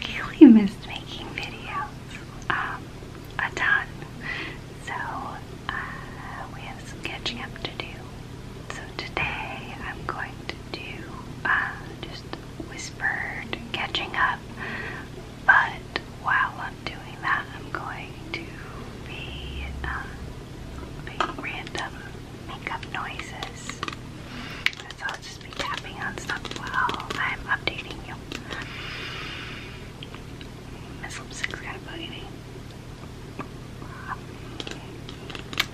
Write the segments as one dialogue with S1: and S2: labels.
S1: really missed making videos um, a ton. So uh, we have some catching up to do. So today I'm going to do uh, just whispered catching up, but while I'm doing that, I'm going to be uh, making random noises i just be tapping on stuff while I'm updating you. Miss Lipstick's kind of bugging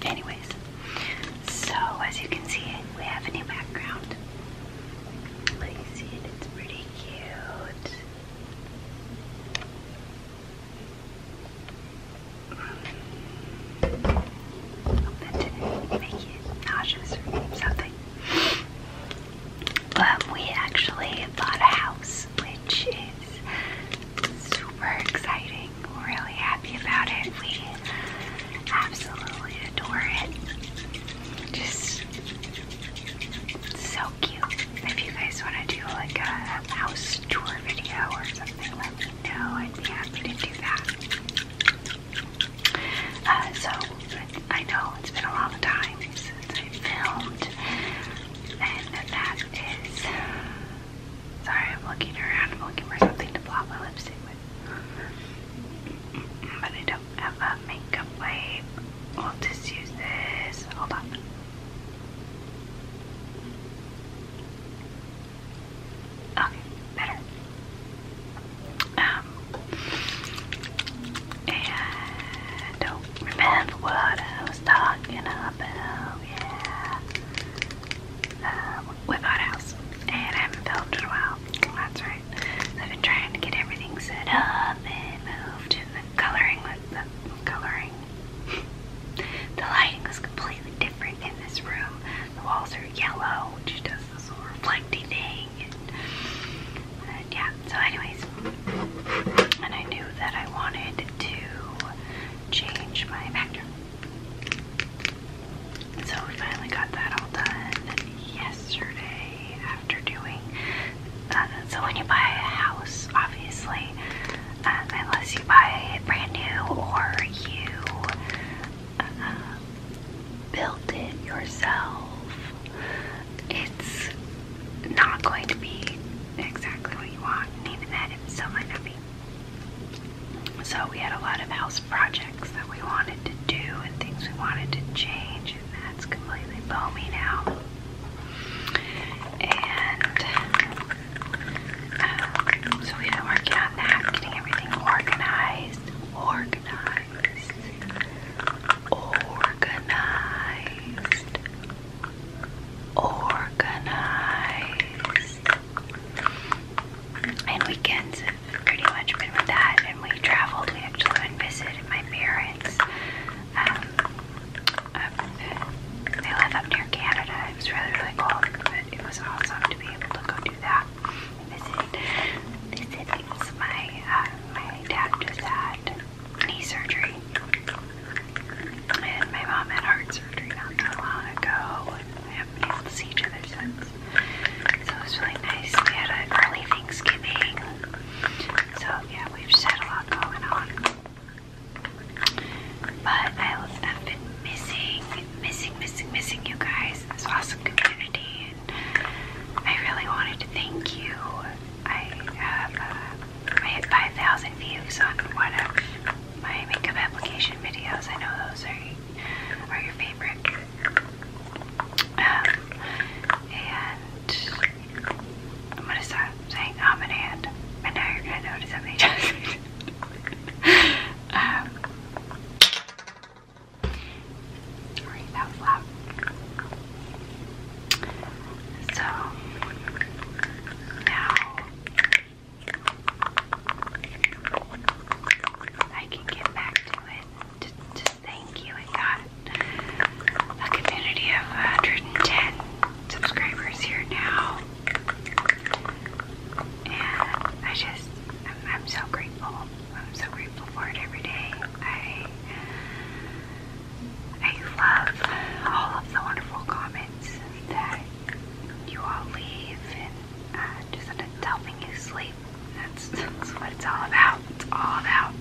S1: Anyways, so as you can see, we have a new background. But you see it, it's pretty cute. that didn't make you nauseous or something. But we actually bought a house, which is super exciting. really happy about it. We absolutely adore it. Just so cute. If you guys want to do like a house tour video or something, let me know. I'd be happy to do that. Uh, so I know it's been a long time since I filmed, and that is. Sorry, I'm looking around, I'm looking for something to blot my lipstick with, but I don't have a makeup wipe. i will just use this. Hold on. Okay, better. Um, and don't remember what I was talking about. Yeah. Um, we bought a house, and I haven't it in a while. That's right. I've been trying to get everything set up and moved, and the coloring was the coloring. the lighting is completely different in this room. The walls are yellow, which does does this yeah, so, anyways, and I knew that I wanted to change my background. So, we finally got that all done yesterday after doing. Uh, so, when you buy a house, obviously, um, unless you buy brand new or you build it yourself, it's not going to be exactly what you want, even that it still might not be. So we had a lot of house projects that we wanted to do and things we wanted to change, and that's completely foamy now. And um, so we've been working on that, getting everything organized, organized organized, organized, organized. And weekends have pretty much been with that. And we traveled. We actually went and visited my parents. Um, up, they live up near Canada. It was really really cold, but it was awesome to be able to go do that. They said it's my uh, my dad just had knee surgery, and my mom had heart surgery not too long ago, and haven't been able to see each since. So it was really nice. We had an early Thanksgiving. So yeah, we've had a lot going on. But I've been missing, missing, missing, missing you guys. This awesome community. I really wanted to thank you. I have uh, 5,000 views on one of my makeup application videos. I know those are are your favorite. Um, and I'm gonna stop saying um and and, and now you're gonna notice how many times. um, so now I can get back to it to, thank you. I got a community of 110 subscribers here now. And I just, I'm so grateful. I'm so grateful for it every day. I I love all of the wonderful comments that you all leave and uh, just helping you sleep. That's, what it's all about. It's all about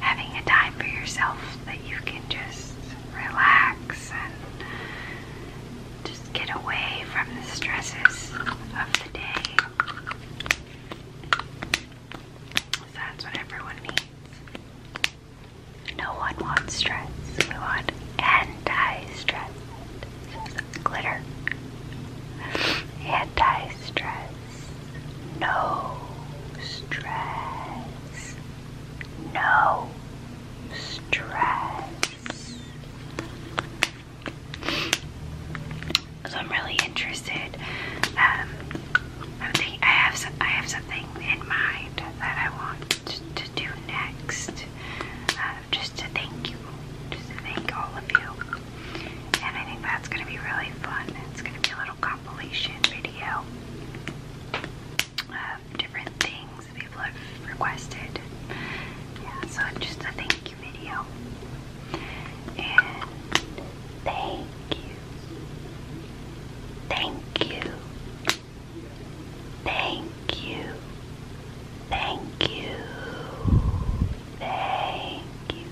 S1: having a time for yourself that you can just relax and just get away from the stresses of the day. That's what everyone needs. No one wants stress. We want anti-stress. Glitter. Anti-stress. No stress. No stress. So I'm really interested. Um, I have some, I have something in mind that I want to, do next. Um, just to thank you, just to thank all of you. And I think that's gonna be really fun. It's gonna be a little compilation video of different things people have requested. Yeah, so just to thank rescue video. And thank you. Thank you. Thank you. Thank you. Thank you. Thank you.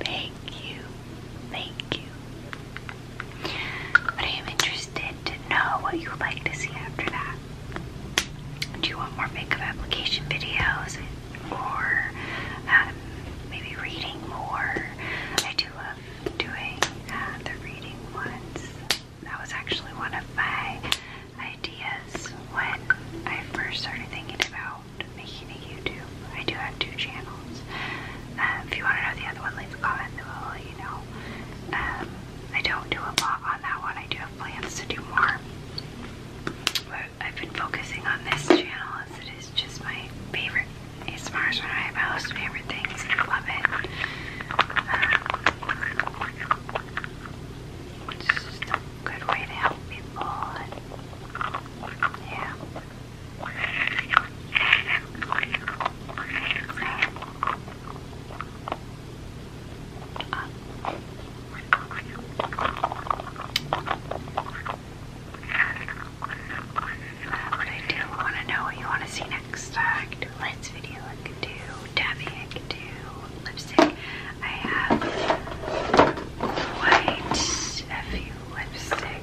S1: Thank you. Thank you. But I am interested to know what you would like to see after that do you want more makeup application videos or um, maybe reading more? I do love doing uh, the reading ones. That was actually one of my ideas when I first started thinking about making a YouTube. I do have two channels. Uh, if you want to know the other one, leave a comment below, you know. Um, I don't do a lot on that one. I do plans to do more. But I've been focusing on this channel as it is just my favorite. It's Mars one of my most favorite things. I love it. Um, it's just a good way to help people. yeah. But I do want to know what you want to see next. Uh, I video, I could do tapping, I could do lipstick. I have quite a few lipsticks.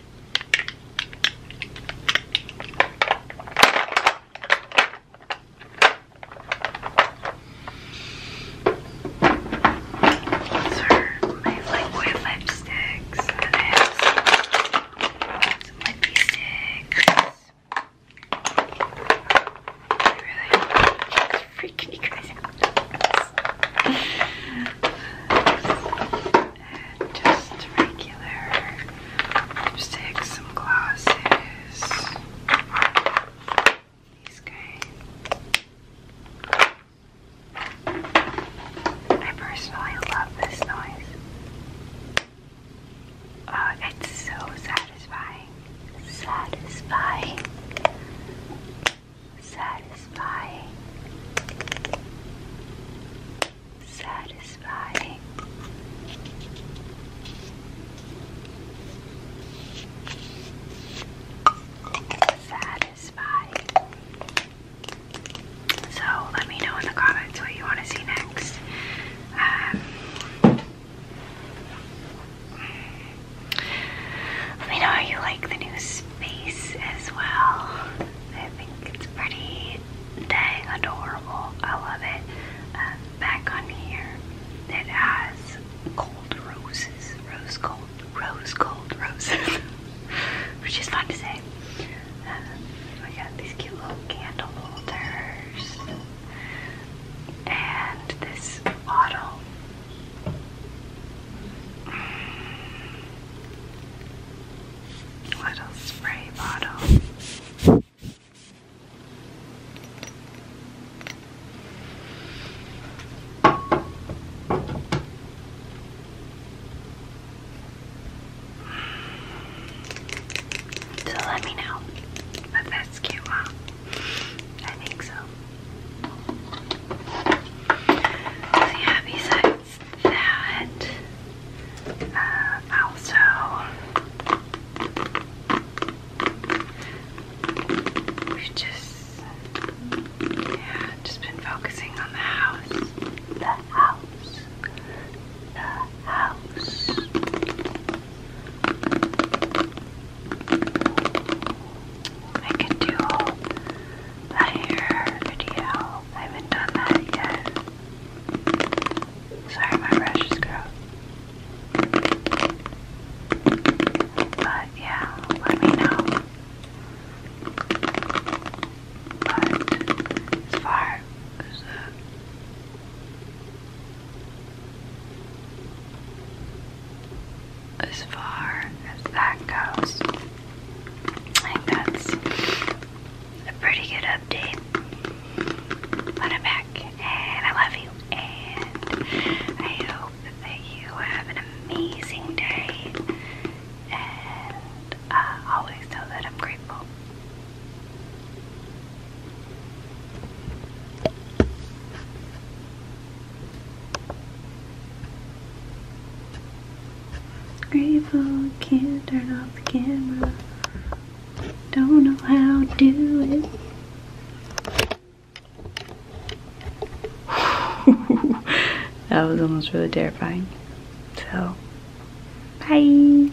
S1: These are my liquid lipsticks, and I have some, some lippy sticks. I really hope it's freaking you guys out. and just regular lipsticks, some glosses, these guys. I personally love this noise. Uh, it's so satisfying. Satisfying. Satisfying satisfying. Satisfying. So let me know in the comments what you want to see next. Um, let me know how you like the new space as well. I think it's pretty dang adorable. I love it. Um, back on here, it has cold roses, rose gold, rose gold roses, which is fun to say. Uh, we got these cute little candle holders, and this bottle little spray bottle. So let me know if that's cute, I think so. happy side that uh, also we've just yeah, just been focusing on the house. The house. The house. I could do a hair video. I haven't done that yet. Sorry, my brush is gross. But yeah, let me know. But as far as far as that goes, I a pretty good update. I'm back, and I love you, and I hope that you have an amazing day, and uh, always know that I'm grateful. Grateful, can't turn off the camera. Don't know how to do it. that was almost really terrifying. So, bye.